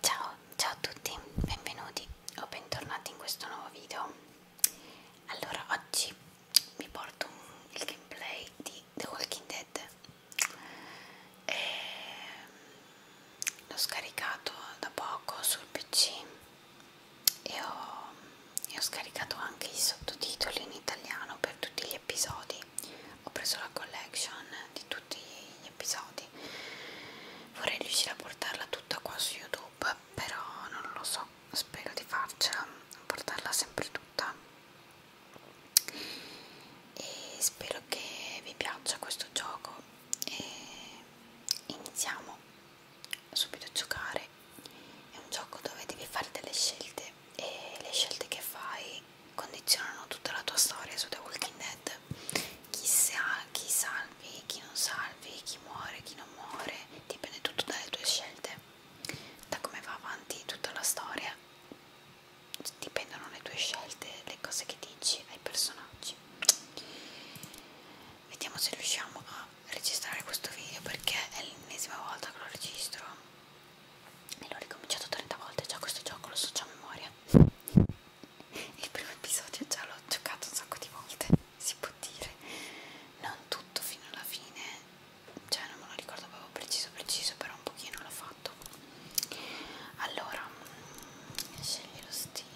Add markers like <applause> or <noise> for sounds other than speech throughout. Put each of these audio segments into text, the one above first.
Ciao, ciao a tutti, benvenuti o bentornati in questo nuovo video. Allora, oggi mi porto un, il gameplay di The Walking Dead. E... L'ho scaricato da poco sul PC e ho, e ho scaricato anche i sottotitoli in italiano per tutti gli episodi. Ho preso la collection di tutti tutti gli episodi vorrei riuscire a portarla tutta qua su youtube però non lo so spero di farcela portarla sempre tutta e spero che vi piaccia questo gioco e iniziamo subito a giocare è un gioco dove devi fare delle scelte e le scelte che fai condizionano tutta la tua storia su The Walking Dead chi, sa, chi salvi, chi non salvi, chi muore, chi non muore dipende tutto dalle tue scelte da come va avanti tutta la storia dipendono le tue scelte, le cose che dici ai personaggi vediamo se riusciamo a registrare questo video perché è l'ennesima volta che lo registro e l'ho ricominciato 30 volte già questo gioco lo so già a memoria il primo episodio già l'ho giocato un sacco di volte si può dire non tutto fino alla fine cioè non me lo ricordo proprio preciso preciso però un pochino l'ho fatto allora scegli lo stile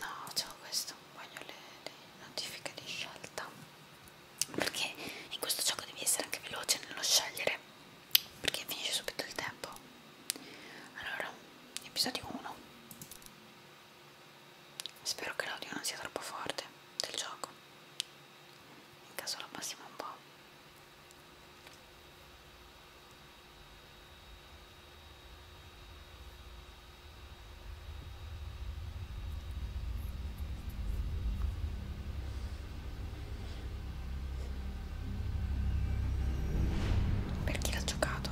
no c'ho questo voglio le, le notifiche di scelta perché in questo gioco devi essere anche veloce nello scegliere perché finisce subito il tempo allora episodio 1 spero che l'audio non sia troppo forte del gioco in caso lo abbassiamo un po' Per chi l'ha giocato,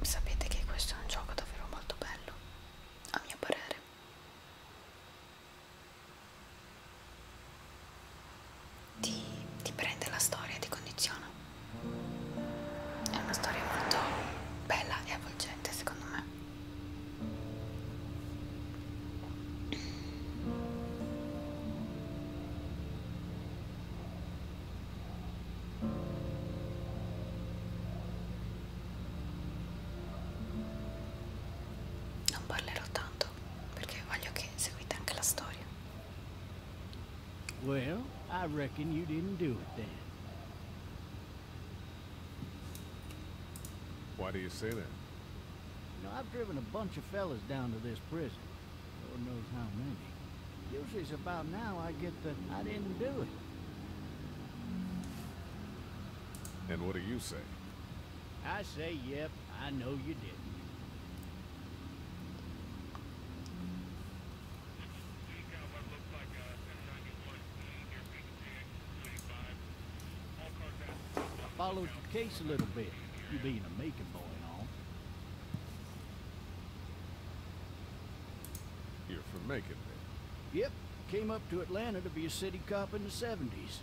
sapete che questo è un gioco davvero molto bello, a mio parere ti, ti prende la storia, ti condiziona. È una storia molto bella e avvolgente secondo me. Non parlerò tanto perché voglio che seguite anche la storia. Well, I reckon you didn't do it then. Why do you say that? You know, I've driven a bunch of fellas down to this prison. Lord knows how many. Usually it's about now I get the, I didn't do it. And what do you say? I say, yep, I know you didn't. I Followed your case a little bit, you being a Macon boy and You're from Macon, Yep. Came up to Atlanta to be a city cop in the 70s.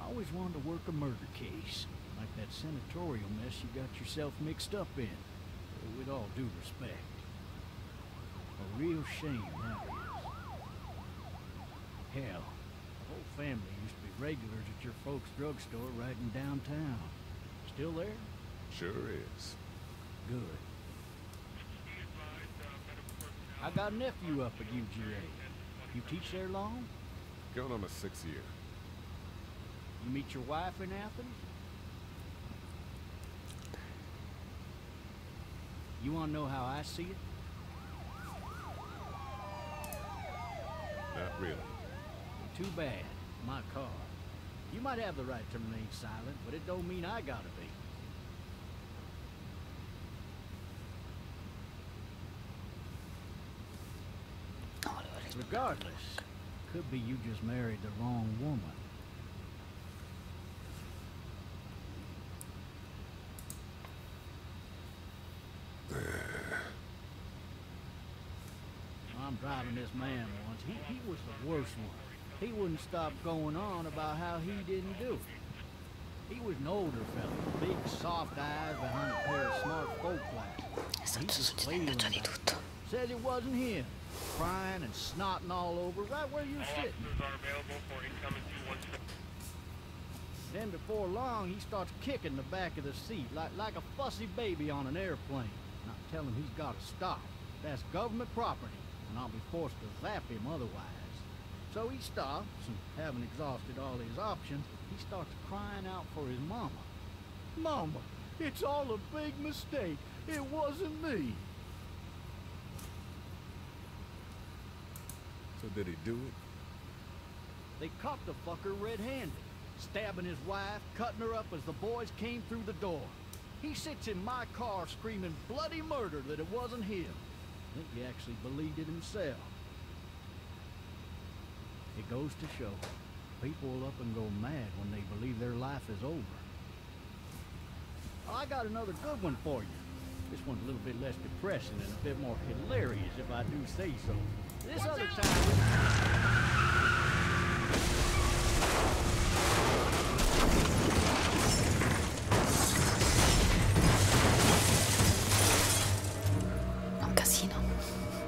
I always wanted to work a murder case, like that senatorial mess you got yourself mixed up in with all due respect. A real shame that is. Hell, the whole family used to be regulars at your folks' drugstore right in downtown. Still there? Sure is. Good. I got a nephew up at UGA. You teach there long? Going on a sixth year. You meet your wife in Athens? You want to know how I see it? Not really. too bad. My car. You might have the right to remain silent, but it don't mean I gotta be. Regardless, could be you just married the wrong woman. I'm driving this man once. He, he was the worst one. He wouldn't stop going on about how he didn't do it. He was an older fella, big soft eyes behind a pair of smart folk Says it wasn't him. Crying and snotting all over, right where you sitting. Then before long, he starts kicking the back of the seat like, like a fussy baby on an airplane. And I tell him he's got to stop. That's government property, and I'll be forced to zap him otherwise. So he stops, and having exhausted all his options, he starts crying out for his mama. Mama, it's all a big mistake. It wasn't me. So did he do it? They caught the fucker red-handed, stabbing his wife, cutting her up as the boys came through the door. He sits in my car screaming bloody murder that it wasn't him. I think he actually believed it himself. It goes to show, people will up and go mad when they believe their life is over. I got another good one for you. This one's a little bit less depressing and a bit more hilarious, if I do say so. Un casino.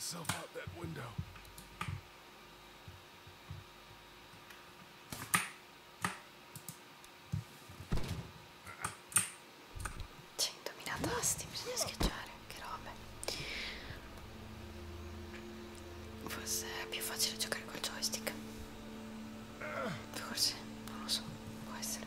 myself out that window. 100.000 tasti ah, bisogna schiacciare che robe forse è più facile giocare col joystick forse non lo so può essere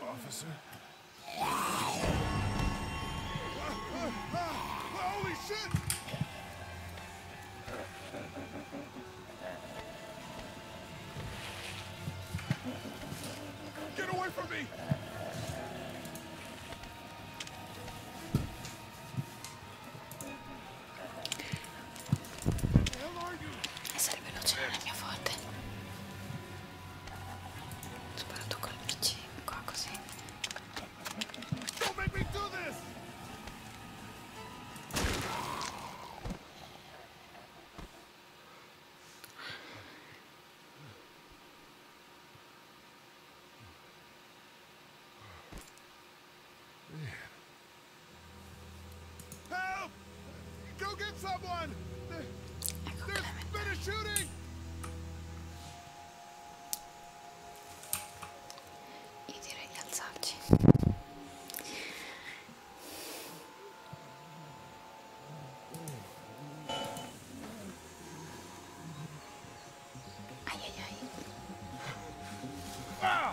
Officer. Holy shit! Get away from me! Sarebbe l'oceano la mia forte. Soprattutto con il vicino, così. Don't make me do this! Help! Go get someone! There's been shooting! Io direi di alzarci. Ai Ah!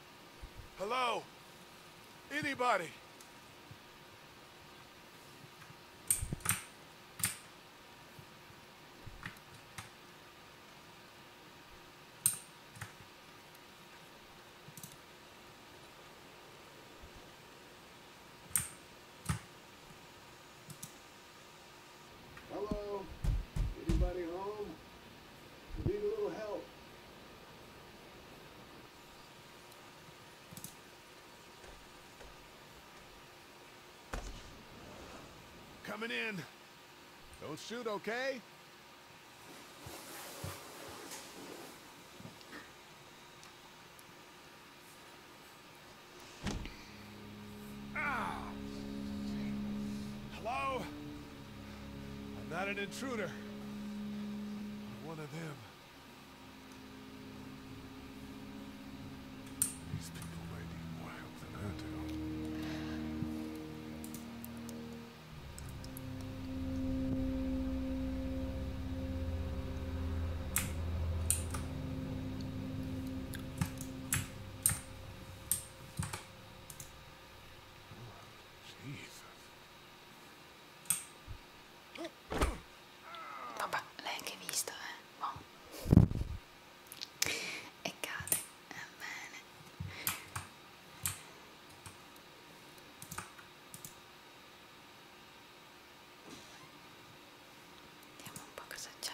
Hello? Anybody? Hello? Anybody home? need a little help. Coming in. Don't shoot, okay? Ah! Hello? I'm not an intruder. I'm one of them. These people might be more help than I do. Vabbè, l'hai anche visto, eh? Boh. E cade, va eh, bene. Vediamo un po' cosa c'è.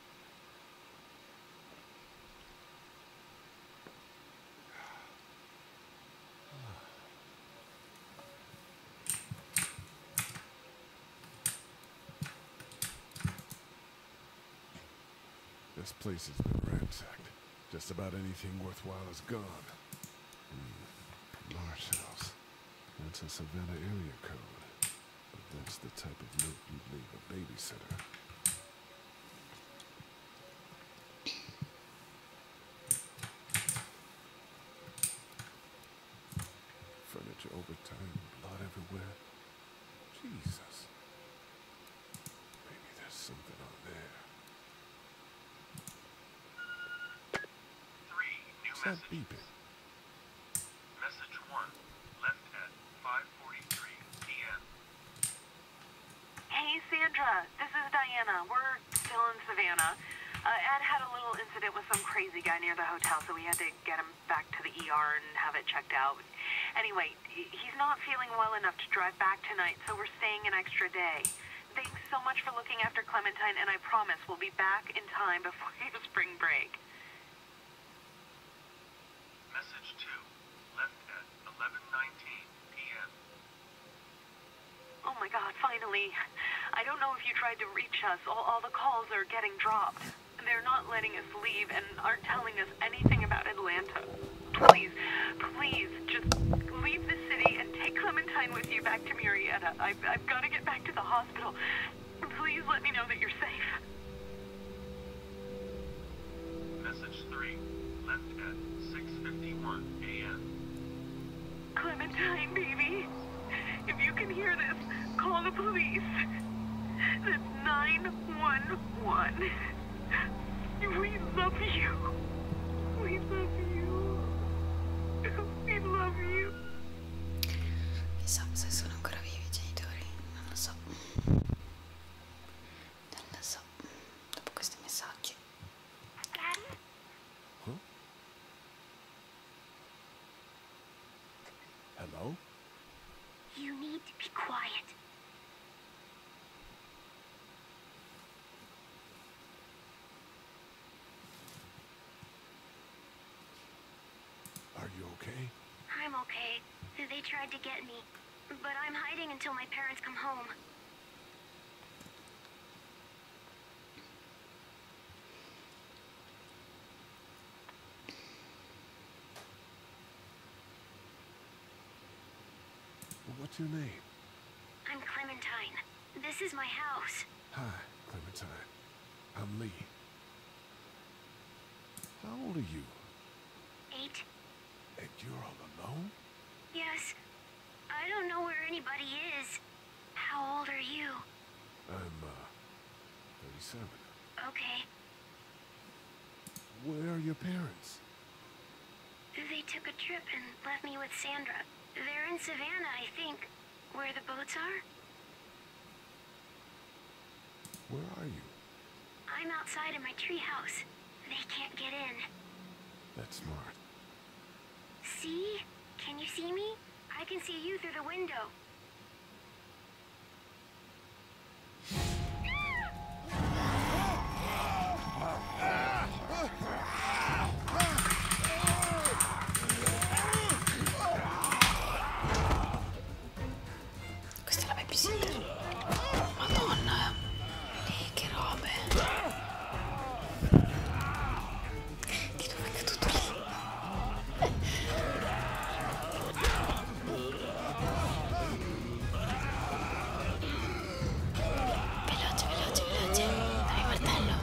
This place has been ransacked. Just about anything worthwhile is gone. Hmm. That's a Savannah area code that's the type of milk you'd leave a babysitter. Furniture overturned, blood everywhere. Jesus. Maybe there's something on there. Three new Stop beeping. Message 1, left at 5.43 p.m. Hey, Sandra. This is Diana. We're still in Savannah. Uh, Ed had a little incident with some crazy guy near the hotel, so we had to get him back to the ER and have it checked out. Anyway, he's not feeling well enough to drive back tonight, so we're staying an extra day. Thanks so much for looking after Clementine, and I promise we'll be back in time <laughs> before your spring break. Message 2. Left at 11.19 p.m. Oh my god, finally. I don't know if you tried to reach us. All, the calls are getting dropped. They're not letting us leave and aren't telling us anything about Atlanta. Please, please, just leave the city and take Clementine with you back to Murrieta. I've got to get back to the hospital. Please let me know that you're safe. Message 3. Left at 6.51 a.m. Clementine, baby. If you can hear this, call the police. That's 911. We love you. We love you. We love you. Chissà se sono ancora vivi i genitori, non lo so. Non lo so, dopo questi messaggi. Huh? Hello? You need to be quiet. Are you okay? I'm okay. They tried to get me, but I'm hiding until my parents come home. What's your name? I'm Clementine. This is my house. Hi, Clementine. I'm Lee. How old are you? Eight. And you're all alone? Yes. I don't know where anybody is. How old are you? I'm, uh, 37. Okay. Where are your parents? They took a trip and left me with Sandra. They're in Savannah, I think. Where the boats are? Where are you? I'm outside in my treehouse. They can't get in. That's smart. See? Can you see me? I can see you through the window. <laughs> Questa è la babysitter. Madonna. Eh, che robe. Di dove è caduto lì? veloce, veloce, veloce. Dai, martello.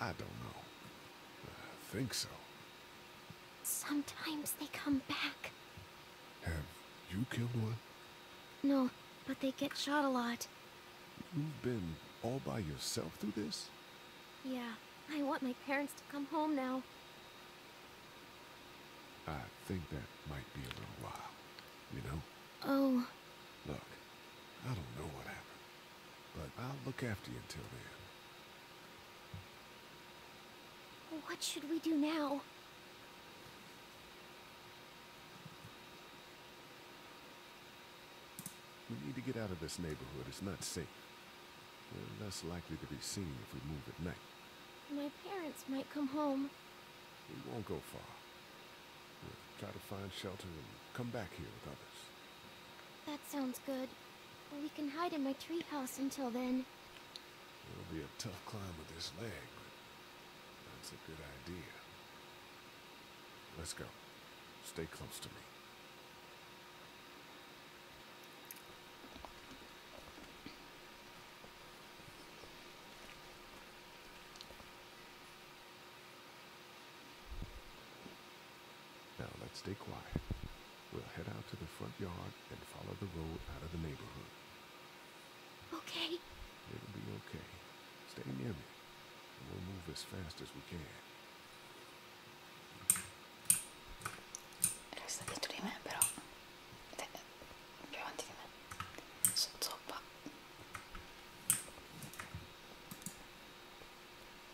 I don't know. I think so. Sometimes they come back. Have you killed one? No, but they get shot a lot. You've been all by yourself through this? Yeah, I want my parents to come home now. I think that might be a little while, you know? Oh. Look, I don't know what happened, but I'll look after you until then. What should we do now? We need to get out of this neighborhood. It's not safe. We're less likely to be seen if we move at night. My parents might come home. We won't go far. We'll try to find shelter and come back here with others. That sounds good. We can hide in my treehouse until then. It'll be a tough climb with this leg, but that's a good idea. Let's go. Stay close to me. Now let's stay quiet. We'll head out to the front yard and follow the road out of the neighborhood. Okay. It'll be okay. Stay near me. And we'll move as fast as we can. Resta dietro di me però. più avanti di me. Sono zoppa.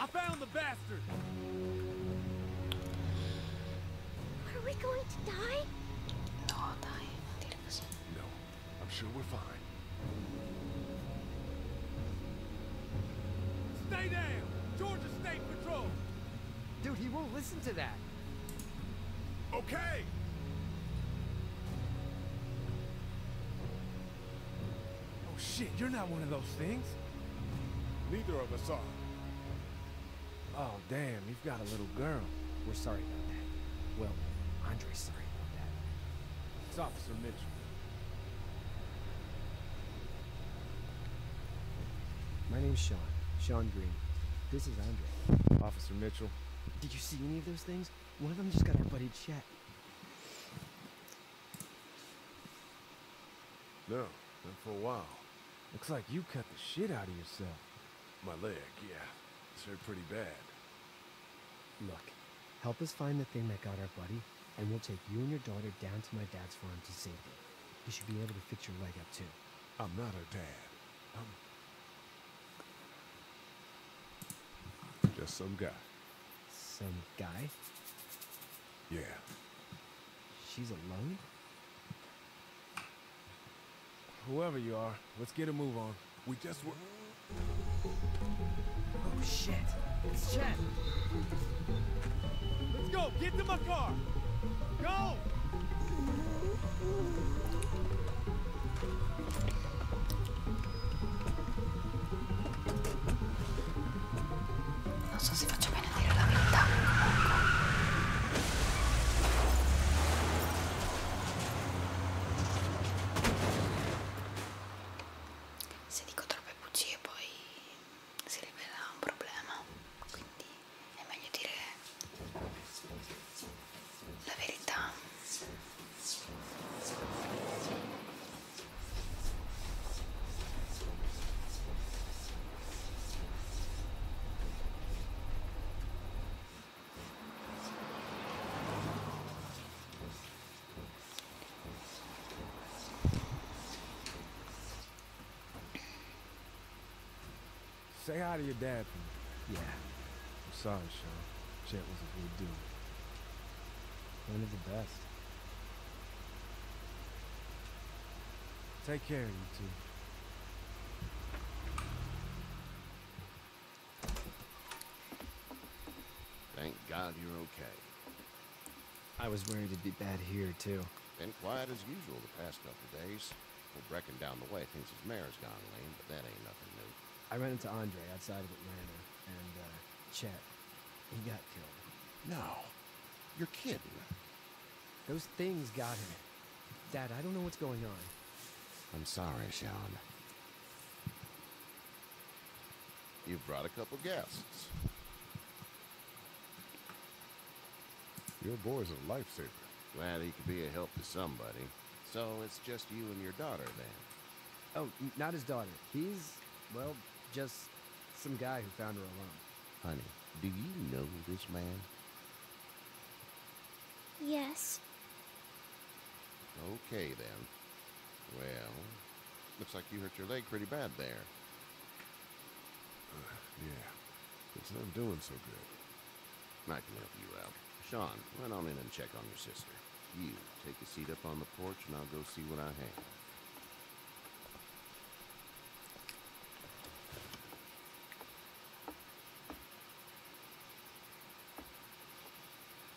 I found the bastard. Are we going to die? No, dai, non dire così. No, I'm sure we're fine. Stay down! Georgia State Patrol! Dude, he won't listen to that. Okay! Oh shit, you're not one of those things. Neither of us are. Oh damn, you've got a little girl. We're sorry about that. Well, Andre's sorry about that. It's Officer Mitchell. My name's Sean. Sean Green. This is Andre. Officer Mitchell. Did you see any of those things? One of them just got our buddy shot. No, not for a while. Looks like you cut the shit out of yourself. My leg, yeah. It's hurt pretty bad. Look, help us find the thing that got our buddy, and we'll take you and your daughter down to my dad's farm to save them. You should be able to fix your leg up too. I'm not her dad. I'm just some guy. Some guy? Yeah. She's alone? Whoever you are, let's get a move on. We just were... Oh, shit. It's Chet. Let's go. Get to my car. Go! Non so se faccio bene a dire la verità. Se dico troppe bugie poi si rivela un problema, quindi è meglio dire la verità. Say hi to your dad Yeah. I'm sorry, Sean. Chet was a good dude. One of the best. Take care, you two. Thank God you're okay. I was worried it'd be bad here, too. Been quiet as usual the past couple days. We're breaking down the way thinks his mare's gone lame, but that ain't nothing new. I ran into Andre outside of Atlanta, and, uh, he got killed. No. your kid. Those things got him. Dad, I don't know what's going on. I'm sorry, Sean. You brought a couple guests. Your boy's a lifesaver. Glad he could be a help to somebody. So it's just you and your daughter, then. Oh, not his daughter. He's, well, just some guy who found her alone. Honey, do you know this man? Yes. Okay, then. Well, looks like you hurt your leg pretty bad there. Uh, yeah. It's not doing so good. I can help you out. Sean, run on in and check on your sister. You take a seat up on the porch and I'll go see what I have.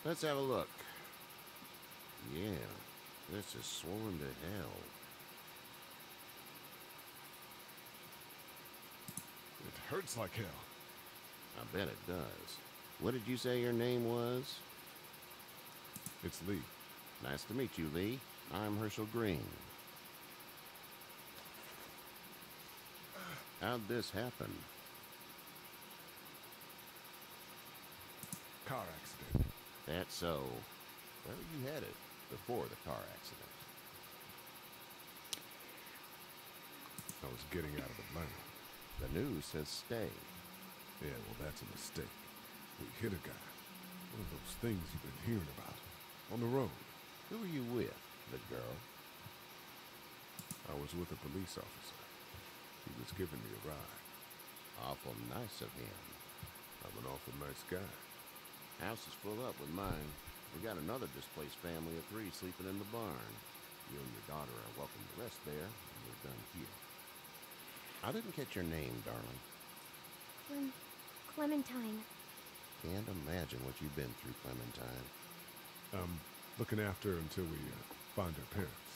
Let's have a look. Yeah, this is swollen to hell. It hurts like hell. I bet it does. What did you say your name was? It's Lee. Nice to meet you, Lee. I'm Herschel Green. How'd this happen? Car accident. That's so. Where were you headed before the car accident? I was getting out of the Atlanta. The news says stay. Yeah, well, that's a mistake. We hit a guy. One of those things you've been hearing about. On the road. Who were you with, the girl? I was with a police officer. He was giving me a ride. Awful nice of him. I'm an awful nice guy. House is full up with mine. We got another displaced family of three sleeping in the barn. You and your daughter are welcome to rest there, and we're done here. I didn't catch your name, darling. Clem... Clementine. Can't imagine what you've been through, Clementine. I'm um, looking after her until we uh, find her parents.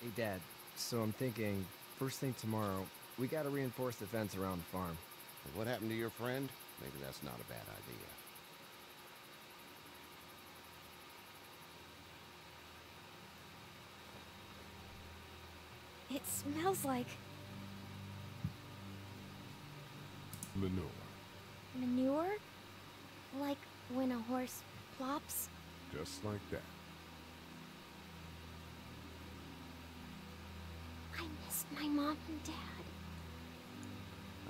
Hey, Dad. So I'm thinking, first thing tomorrow, we gotta reinforce the fence around the farm. what happened to your friend? Maybe that's not a bad idea. It smells like... Manure. Manure? Like when a horse plops? Just like that. I missed my mom and dad.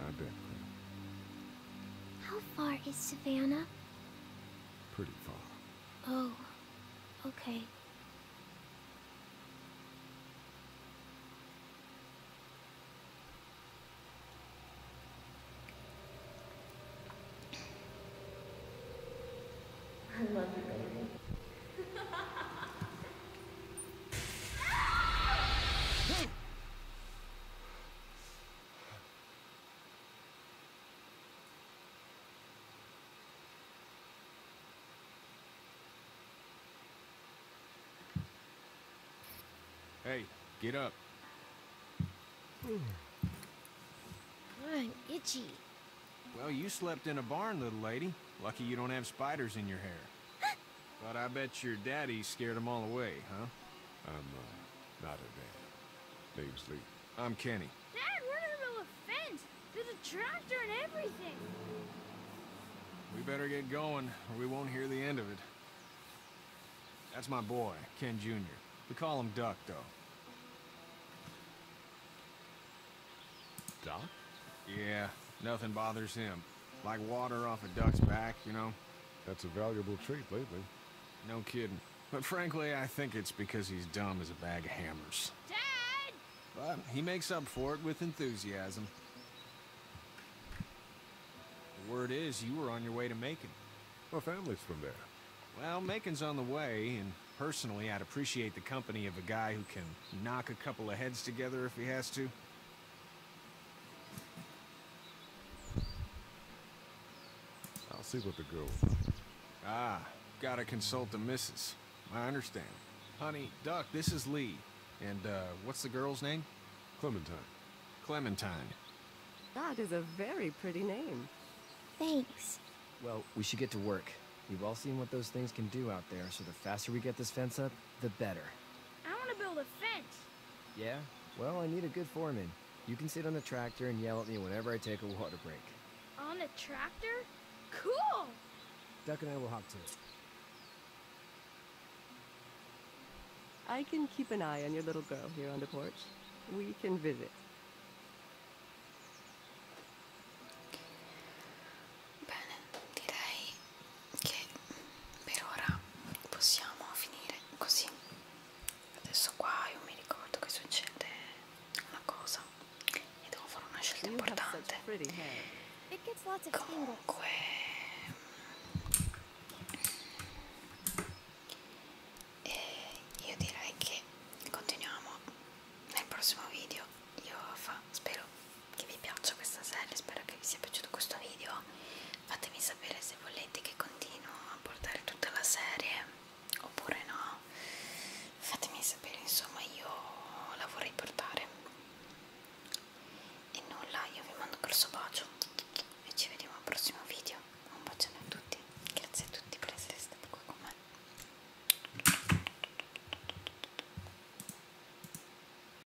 I bet, Clem. How far is Savannah? Pretty far. Oh, okay. I love you, baby. <laughs> Hey, get up. I'm itchy. Well, you slept in a barn, little lady. Lucky you don't have spiders in your hair. <laughs> But I bet your daddy scared them all away, huh? I'm, uh, not a dad. Name's Lee. I'm Kenny. Dad, we're in the a There's a tractor and everything. We better get going, or we won't hear the end of it. That's my boy, Ken Jr. We call him Duck, though. Duck? Yeah, nothing bothers him. Like water off a duck's back, you know? That's a valuable trait lately. No kidding. But frankly, I think it's because he's dumb as a bag of hammers. Dad! But he makes up for it with enthusiasm. The word is, you were on your way to Macon. My family's from there. Well, Macon's on the way, and personally, I'd appreciate the company of a guy who can knock a couple of heads together if he has to. I'll see what the girl. Ah, gotta consult the missus. I understand. Honey, Duck, this is Lee. And, uh, what's the girl's name? Clementine. Clementine. That is a very pretty name. Thanks. Well, we should get to work. We've all seen what those things can do out there, so the faster we get this fence up, the better. I want to build a fence. Yeah? Well, I need a good foreman. You can sit on the tractor and yell at me whenever I take a water break. On the tractor? Cool! Duck and I will hop to it. I can keep an eye on your little girl here on the porch. We can visit. Bene, direi che per ora possiamo finire così adesso qua io mi ricordo che succede una cosa e devo fare una scelta importante comunque e eh, io direi che continuiamo nel prossimo video io fa, spero che vi piaccia questa serie, spero che vi sia piaciuto questo video fatemi sapere se volete che continuo a portare tutta la serie oppure no fatemi sapere insomma io la vorrei portare e nulla io vi mando un grosso bacio e ci vediamo al prossimo video un bacione a tutti grazie a tutti per essere stati qui con me